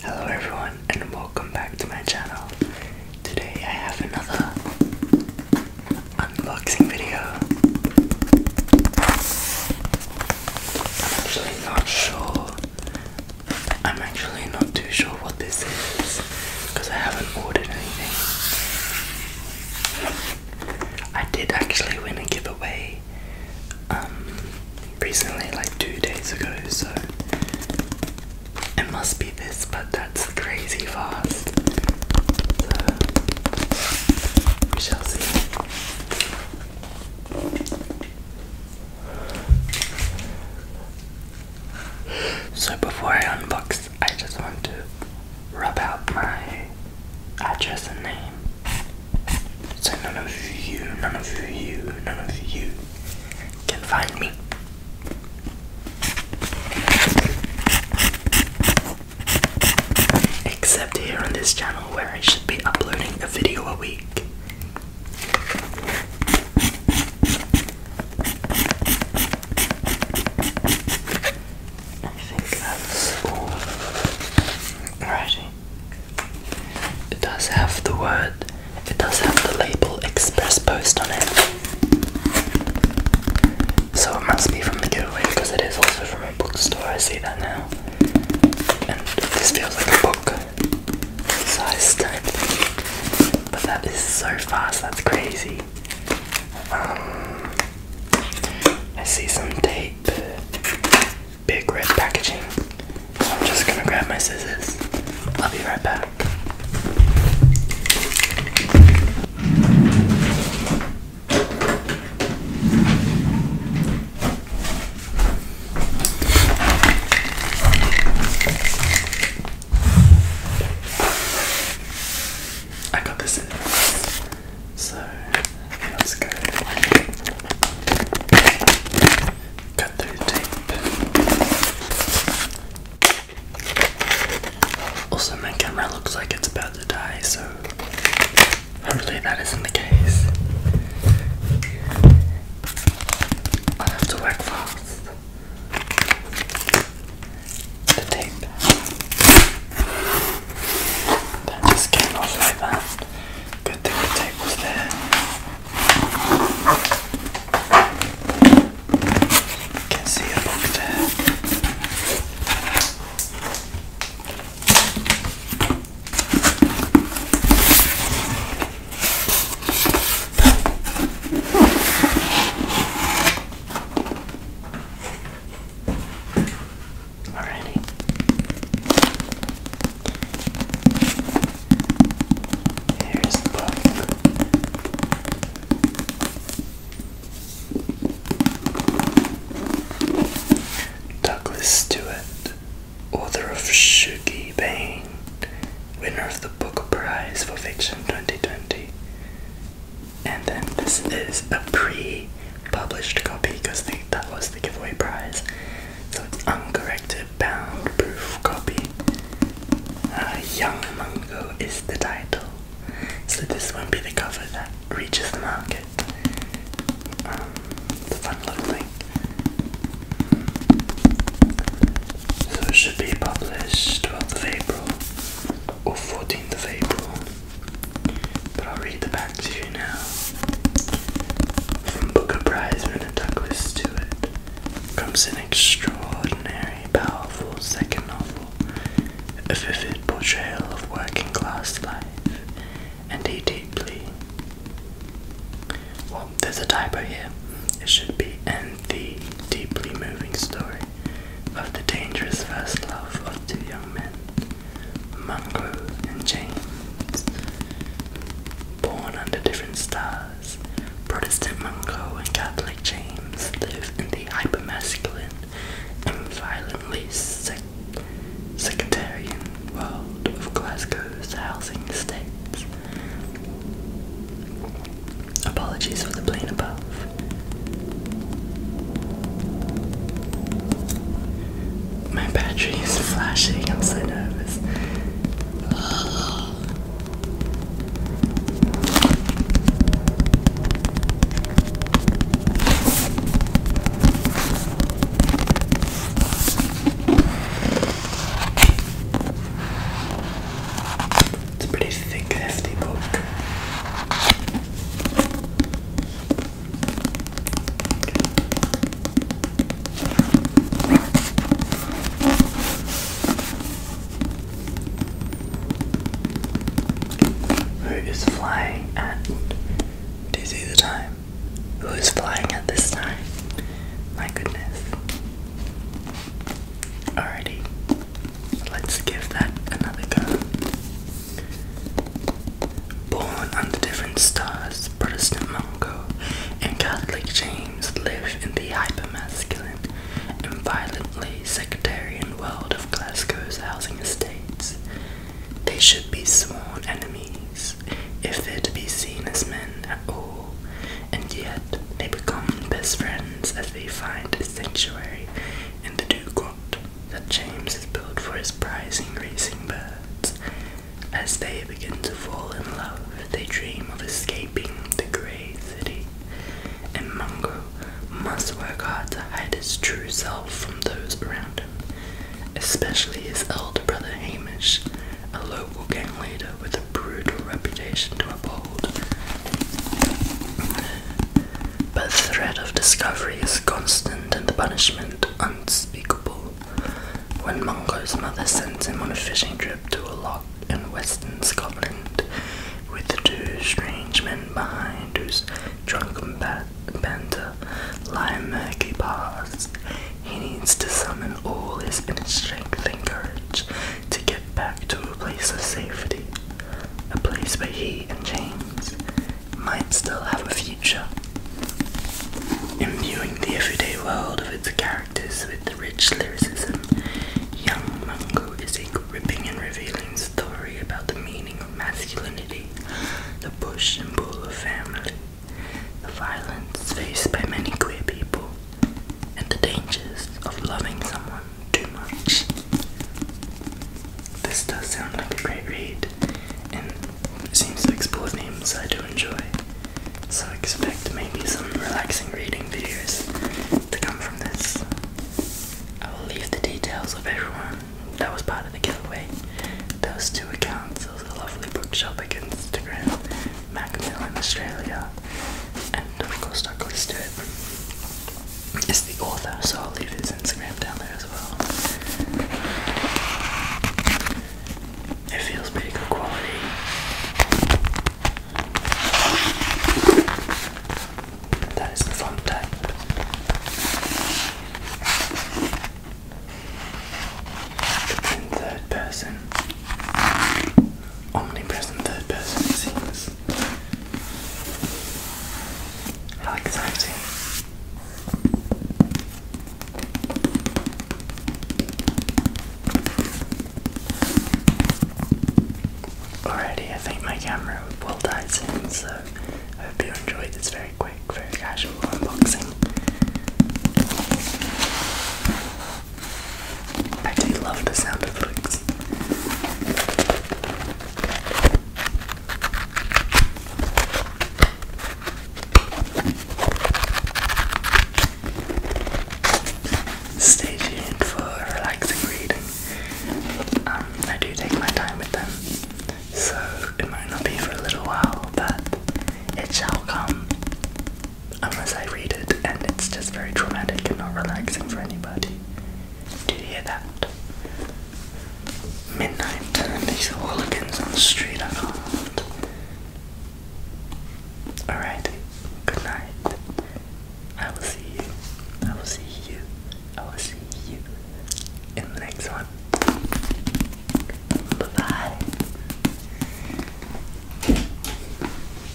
Hello everyone and welcome back to my channel. Today I have another unboxing video. I'm actually not sure. I'm actually not too sure what this is because I haven't ordered anything. I did actually win a giveaway um, recently, like two days ago, so it must be this, but that's crazy fast. So we shall see. So before I unbox, I just want to rub out my address and name. So none of you, none of you, none of you can find me. Except here on this channel where I should be uploading a video a week. I think that's all. Alrighty. It does have the word, it does have the label Express Post on it. So it must be from the giveaway because it is also from a bookstore. I see that now. And this feels like a book sized but that is so fast, that's crazy. Um, I see some tape, big red packaging. I'm just gonna grab my scissors. I'll be right back. I got this in. So let's go cut through tape. Also my camera looks like it's about to die, so hopefully that isn't the case. I have to work fast the tape that just came off like that good thing the tape was there can see a book there Alrighty. Here's the book. Douglas Stewart, author of Shugie Bane winner of the Booker Prize for Fiction 2020. And then this is a pre published copy because that was the giveaway prize. So it's uncorrected, bound, proof copy. Uh, Young Mungo is the title. So this won't be the cover that reaches the market. Um, it's a fun little thing. So it should be published 12th of April or 14th of April. But I'll read the back to you now. From Booker Prize winner Douglas Stewart comes an extraordinary, powerful second novel, a vivid portrayal of working class life, and a deeply well, there's a typo here. It should be end the deeply moving story of the dangerous first love of two young men, Mungo and James. Born under different stars, Protestant Mungo and Catholic James live in the hypermasculine and violently sec sectarian world of Glasgow's housing estates. Apologies for the plane above. My battery is flashing, I'm so nervous. It's a pretty thick, hefty book. Who is flying at? Do you see the time? Who is flying at this time? My goodness. Alrighty. Let's give that another go. Born under different stars, Protestant Mungo and Catholic James live in the hypermasculine and violently sectarian world of Glasgow's housing estates. They should be sworn enemies if they're to be seen as men at all, and yet they become best friends as they find a sanctuary in the dew grot that James has built for his prize prizing racing birds. As they begin to fall in love, they dream of escaping the grey city, and Mungo must work hard to hide his true self from those around him, especially his elder brother Hamish, a local gang leader with a brutal reputation to uphold. But the threat of discovery is constant and the punishment unspeakable. When Mungo's mother sends him on a fishing trip to a loch in western Scotland, with two strange men behind whose drunken ba banter lie murky paths, he needs to summon all his inner strength and courage to get back to a place of safety, a place where he and James might still have a future. Imbuing the everyday world of its characters with rich lyricism, Young Mungo is a gripping and revealing story about the meaning of masculinity, the bush and pull family, the violence faced by many queer people, and the dangers of loving someone too much. This does sound like a great read and seems to explore themes I do enjoy, so expect maybe some relaxing reading videos to come from this. I will leave the details of everyone that was part of the giveaway. Those two accounts, those lovely bookshop against Instagram Macmill in Australia, and of course Douglas Stewart is the author, so I'll leave his Instagram down there as well. It feels pretty good quality. That is the font type. third person. Omnipresent third person, it this. I think my camera will die soon, so I hope you enjoyed this very quick, very casual unboxing. I do love the sound of clicks. Stay tuned for relaxing reading. Um, I do take my time with them, so it might not be for a little while, but it shall come unless I read it, and it's just very traumatic and not relaxing for anybody. Did you hear that? Midnight, and these hooligans on the street are Alright, good night. I will see you. I will see you. I will see you in the next one. Bye bye.